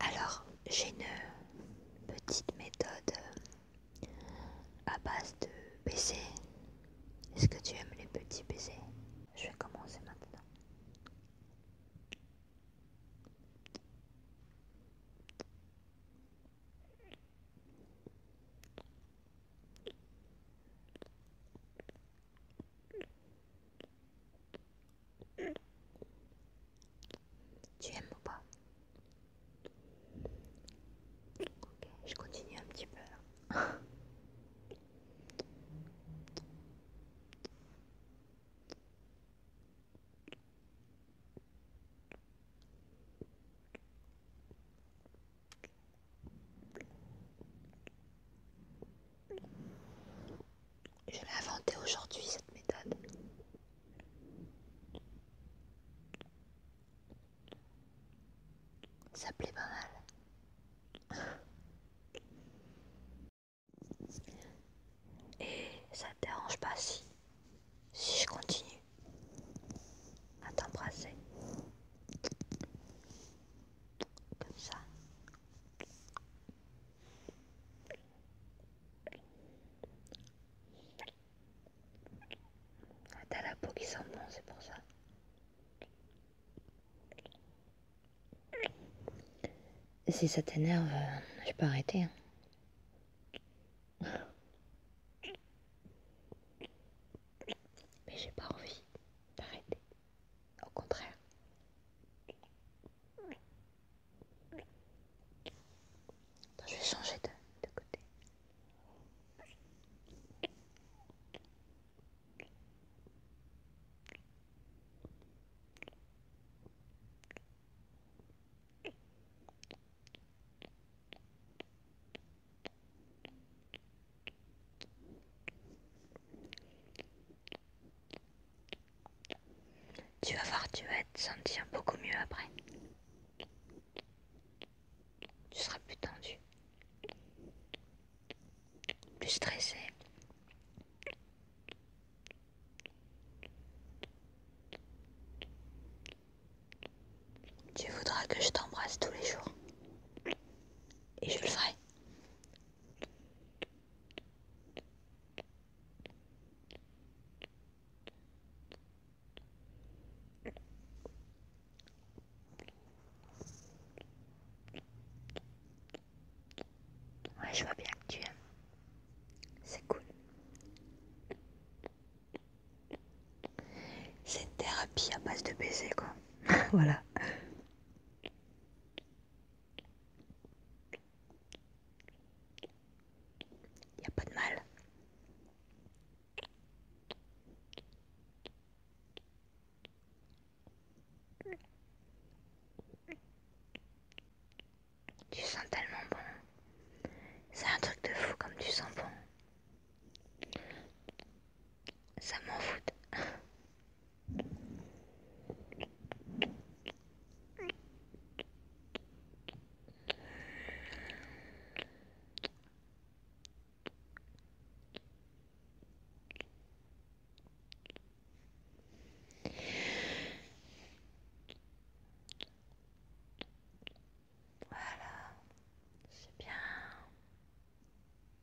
Alors, j'ai une petite méthode euh, à base de BC est-ce que tu aimes les petits baisers Je vais commencer maintenant. Tu aimes ou pas je continue un petit peu. Je l'ai inventé aujourd'hui cette méthode. Ça plaît pas mal. Et ça te dérange pas si, si je continue à t'embrasser comme ça. Ah, t'as la peau qui sent bon, c'est pour ça. Si ça t'énerve, euh, je peux arrêter. Hein. Mais j'ai pas envie d'arrêter. Au contraire. Attends, je vais changer de, de côté. Tu vas voir, tu vas te sentir beaucoup mieux après. Tu seras plus tendu, plus stressé. Tu voudras que je t'embrasse tous les jours. Et je le ferai. Ouais, je vois bien que tu aimes. C'est cool. C'est une thérapie à base de baiser, quoi. voilà. Il n'y a pas de mal. Tu sens tellement bon. C'est un truc de fou comme tu sens bon. Ça m'en fout. Voilà, c'est bien,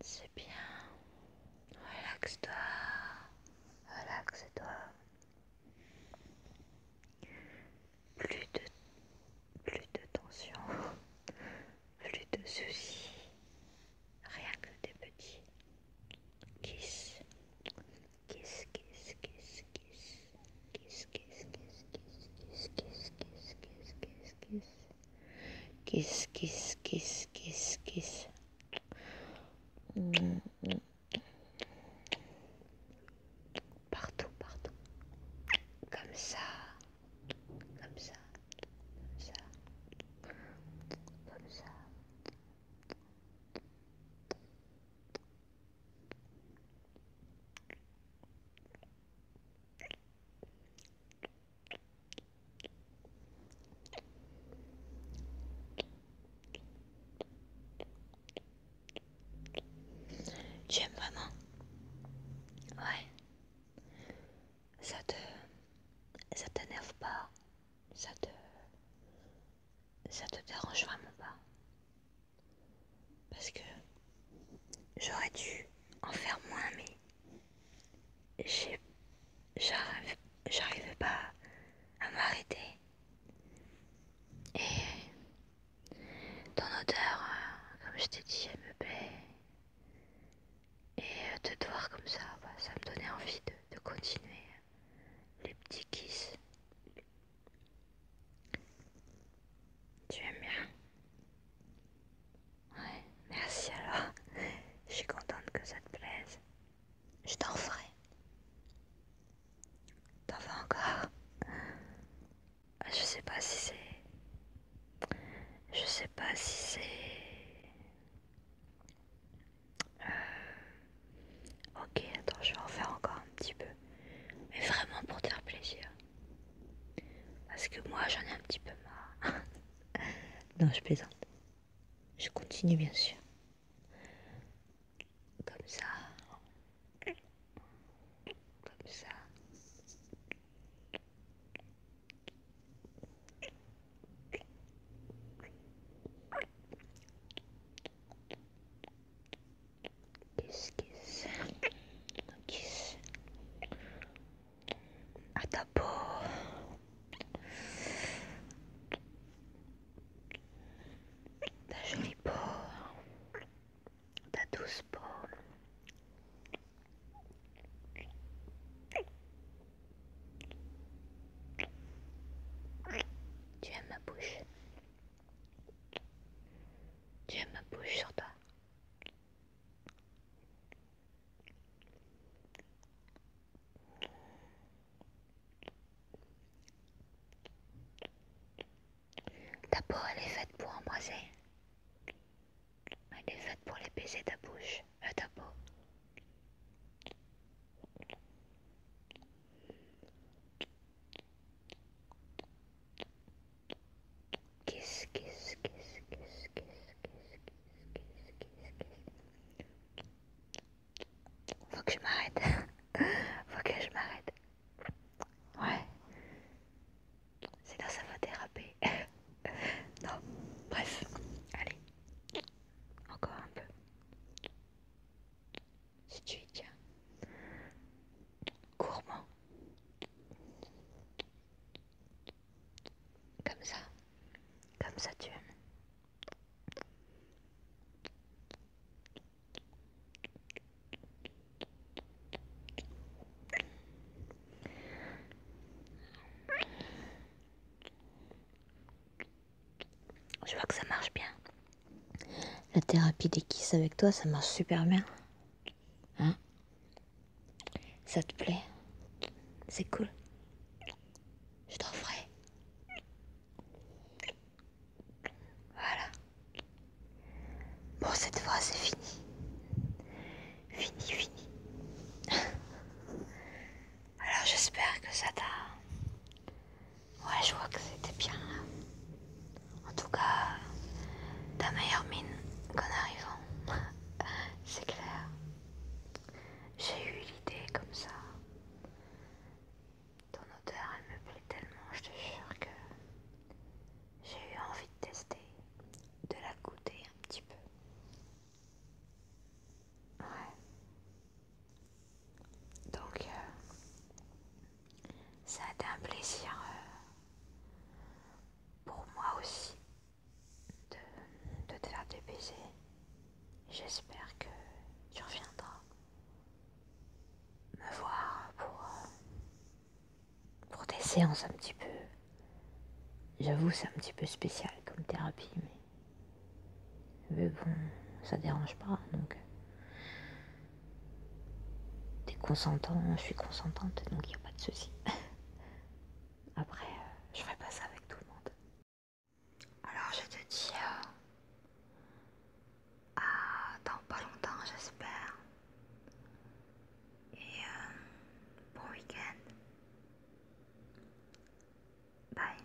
c'est bien. Relaxe-toi, Relaxe-toi. Plus de, plus de tension, plus de soucis, rien que des petits. Kiss, kiss, kiss, kiss, kiss, kiss, kiss, kiss, kiss, kiss, kiss, kiss, kiss, kiss, kiss, kiss, kiss, kiss, kiss. Partout, partout. Comme ça. Comme ça. Comme ça. Comme ça. Tu aimes vraiment Ouais. Ça te. Ça t'énerve pas Ça te. Ça te dérange vraiment pas Parce que j'aurais dû en faire moins, mais j'arrivais pas à m'arrêter. Et ton odeur, euh, comme je t'ai dit, elle me plaît. Et euh, te voir comme ça, bah, ça me donnait envie de, de continuer les petits kisses. Tu aimes bien Ouais, merci alors. Je suis contente que ça te plaise. Je t'en ferai. T'en fais encore ah, Je sais pas si c'est. Je sais pas si c'est. Euh, ok, attends, je vais en faire encore un petit peu. Mais vraiment pour te faire plaisir. Parce que moi j'en ai un petit peu marre. non, je plaisante. Je continue bien sûr. Comme ça. Comme ça. Kiss, kiss, kiss, à ta peau. Ta jolie peau, ta douce peau. Tu aimes ma bouche. Tu aimes ma bouche sur toi. Ta peau, elle est faite pour embrasser. Elle est faite pour les ta bouche, euh, ta peau. Qu'est-ce kiss, kiss, kiss, Faut que je m'arrête. Faut que je m'arrête. Ouais. quest ça va déraper. non. Bref. Allez. Encore un peu. Si tu comme ça. Comme ça tu aimes. Je vois que ça marche bien. La thérapie des kisses avec toi, ça marche super bien. Hein Ça te plaît C'est cool. Je t'en ferai. Voilà. Bon, cette fois, c'est fini. Fini, fini. Alors, j'espère que ça t'a Ouais, je vois que c'était bien là. En tout cas, ta meilleure mine qu'en arrivant. C'est clair. J'ai eu l'idée comme ça. Ton odeur, elle me plaît tellement, je te jure que j'ai eu envie de tester, de la goûter un petit peu. Ouais. Donc, euh, ça a été un plaisir euh, pour moi aussi de, te faire des baisers. J'espère que tu reviendras me voir pour, euh, pour des séances un petit peu. J'avoue, c'est un petit peu spécial comme thérapie, mais mais bon, ça dérange pas, donc. T'es consentant, je suis consentante, donc il a pas de soucis. Après, euh, je ferai pas ça avec tout le monde. Alors je te dis euh, à dans pas longtemps, j'espère. Et euh, bon week-end. Bye.